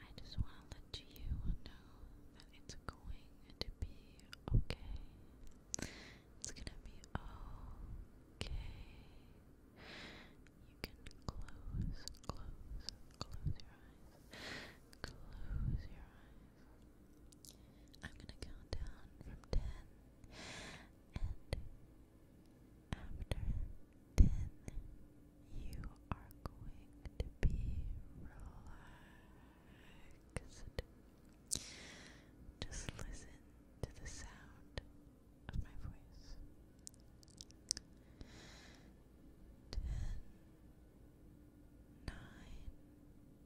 I just want to let you know that it's going to be okay. It's gonna be okay. You can close, close, close your eyes. Close your eyes. I'm gonna count down from ten, and after ten, you are going to be relaxed. Just listen to the sound of my voice. Ten, nine,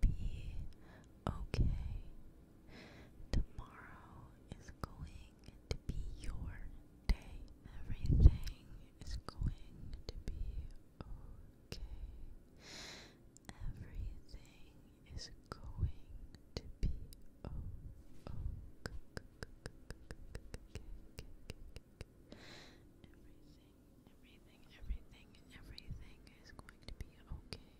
be okay. Tomorrow is going to be your day. Everything is going to be okay. Everything is going to be okay everything, everything, is going to be okay.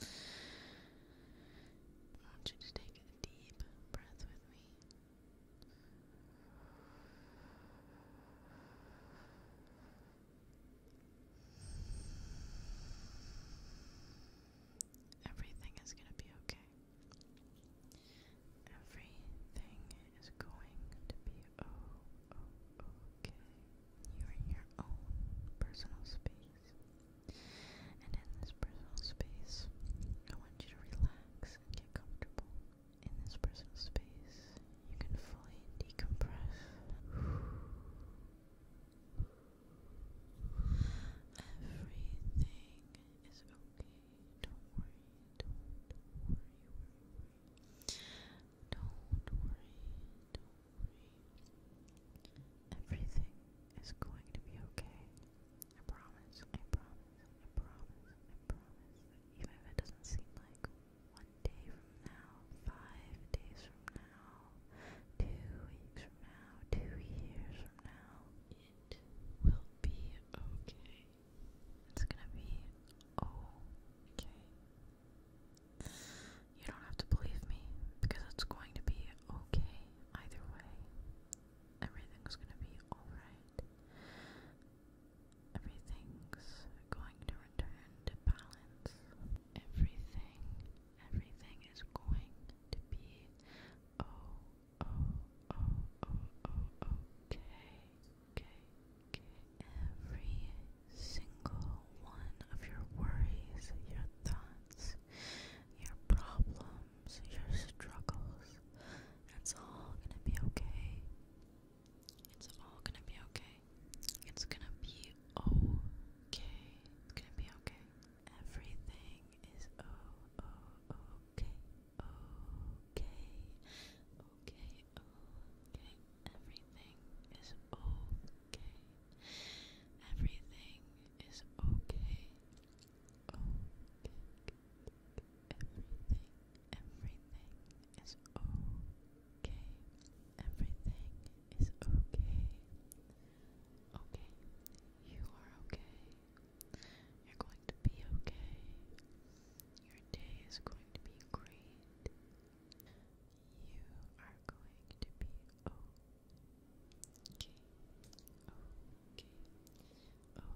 I want you to take a deep breath with me. Everything is going to be okay. Everything is going to be oh, okay. You're in your own personal space. And in this personal space, I want you to relax and get comfortable. In this personal space, you can fully decompress. Everything is okay. Don't worry. Don't, worry. Don't worry, don't worry. Everything is going to be okay. I promise, I promise, I promise, I promise. Even if it doesn't seem like one day from now, five days from now, two weeks from now, two years from now, it will be okay. It's gonna be okay. You don't have to believe me because it's going to be okay either way. Everything's going to be alright. Everything's going to return to balance. Everything, everything is going to be oh, oh, oh, oh, oh, okay. Okay, every single one of your worries, your thoughts, your problems, your struggles, it's all gonna be okay. It's all gonna be okay. It's gonna be okay. It's gonna be okay. Everything is oh, Okay okay, okay. Everything is okay. Everything is okay. Okay. Everything, everything is okay. Everything is okay. Okay. You are okay. You're going to be okay. Your day is going to be great. You are going to be okay. Okay. Okay. You are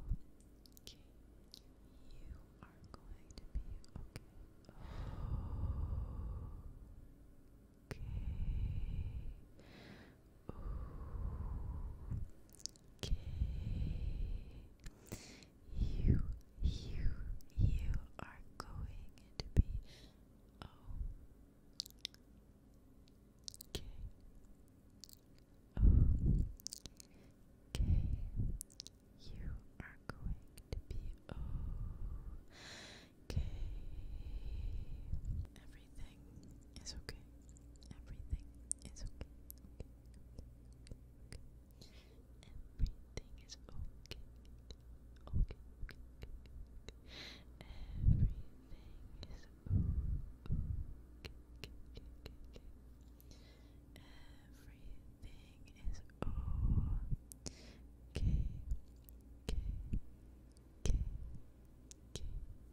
going to be okay. Okay okay. You, you, you are going to be Okay. Okay. You are going to be okay. Everything is okay. Everything is Okay. Everything is okay. Okay, okay, Everything is okay. Okay. Okay. Okay.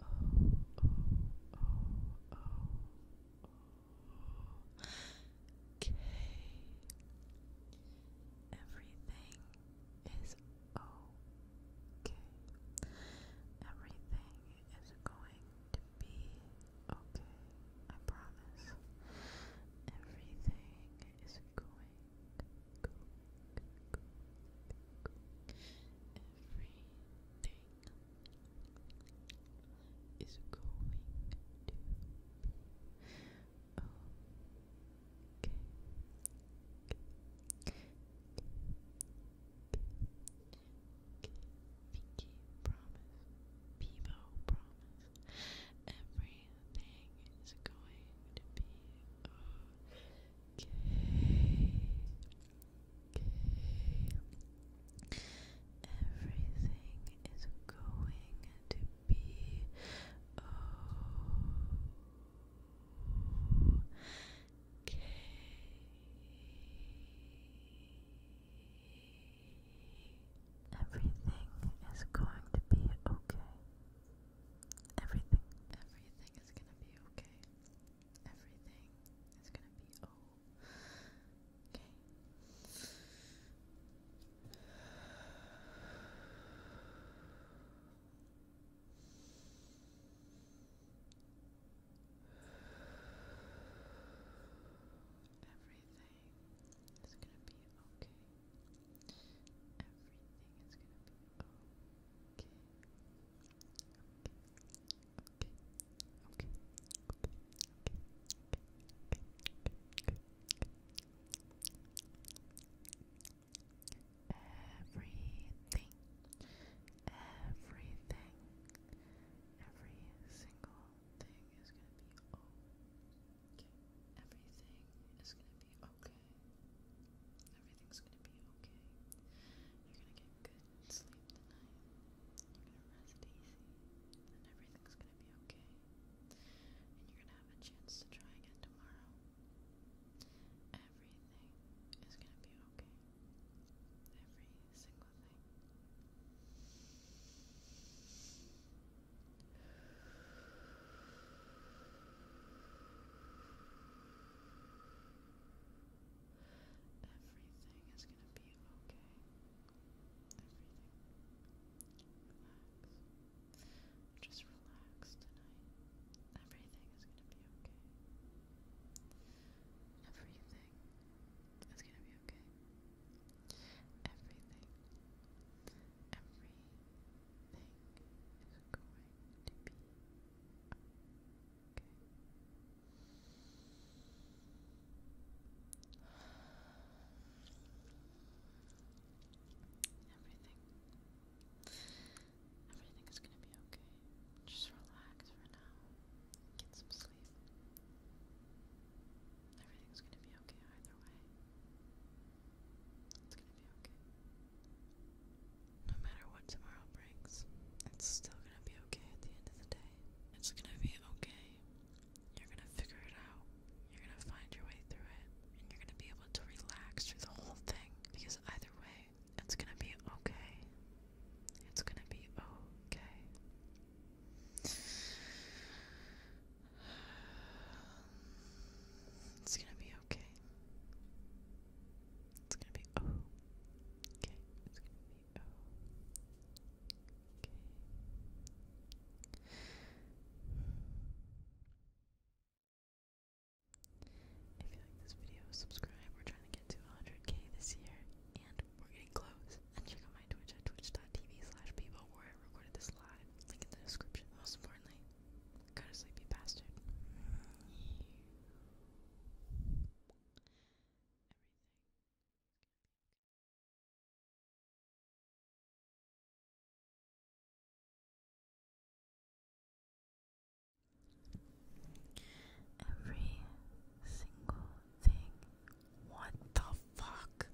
oh, Everything is okay. Everything is going to be okay. I promise. Everything is going, is going to be okay. Pinky promise, Bebo promise, everything is going to be okay. Okay. Everything is going to be okay. Everything is going to be okay. Everything. Everything is going to be okay. Everything is gonna be okay. Everything is gonna be okay. Everything is gonna be okay okay, Everything, everything, every single thing is gonna be okay. Everything is gonna be okay. Everything's gonna be okay. You're gonna get good sleep tonight. You're gonna rest easy, and everything's gonna be okay. And you're gonna have a chance to try again tomorrow. Everything is gonna be okay. Every single thing. Everything is going to be okay. Everything. Relax. Just relax tonight. Everything is going to be okay. Everything is going to be okay. Everything. Everything Everything is gonna be okay. Just relax for now. Get some sleep. Everything's gonna be okay either way. It's gonna be okay. No matter what tomorrow brings, it's still gonna be okay at the end of the day. It's gonna be okay. You're gonna figure it out. You're gonna find your way through it. And you're gonna be able to relax through the whole thing. Because either way, it's gonna be okay. It's gonna be okay. It's gonna be okay. It's gonna be Okay. It's gonna be Okay. If you like this video, subscribe. We're trying to get to 100k this year, and we're getting close. And check out my Twitch at twitch.tv people where I recorded this live. Link in the description. Most importantly, go to sleepy bastard. Every single thing. What the fuck?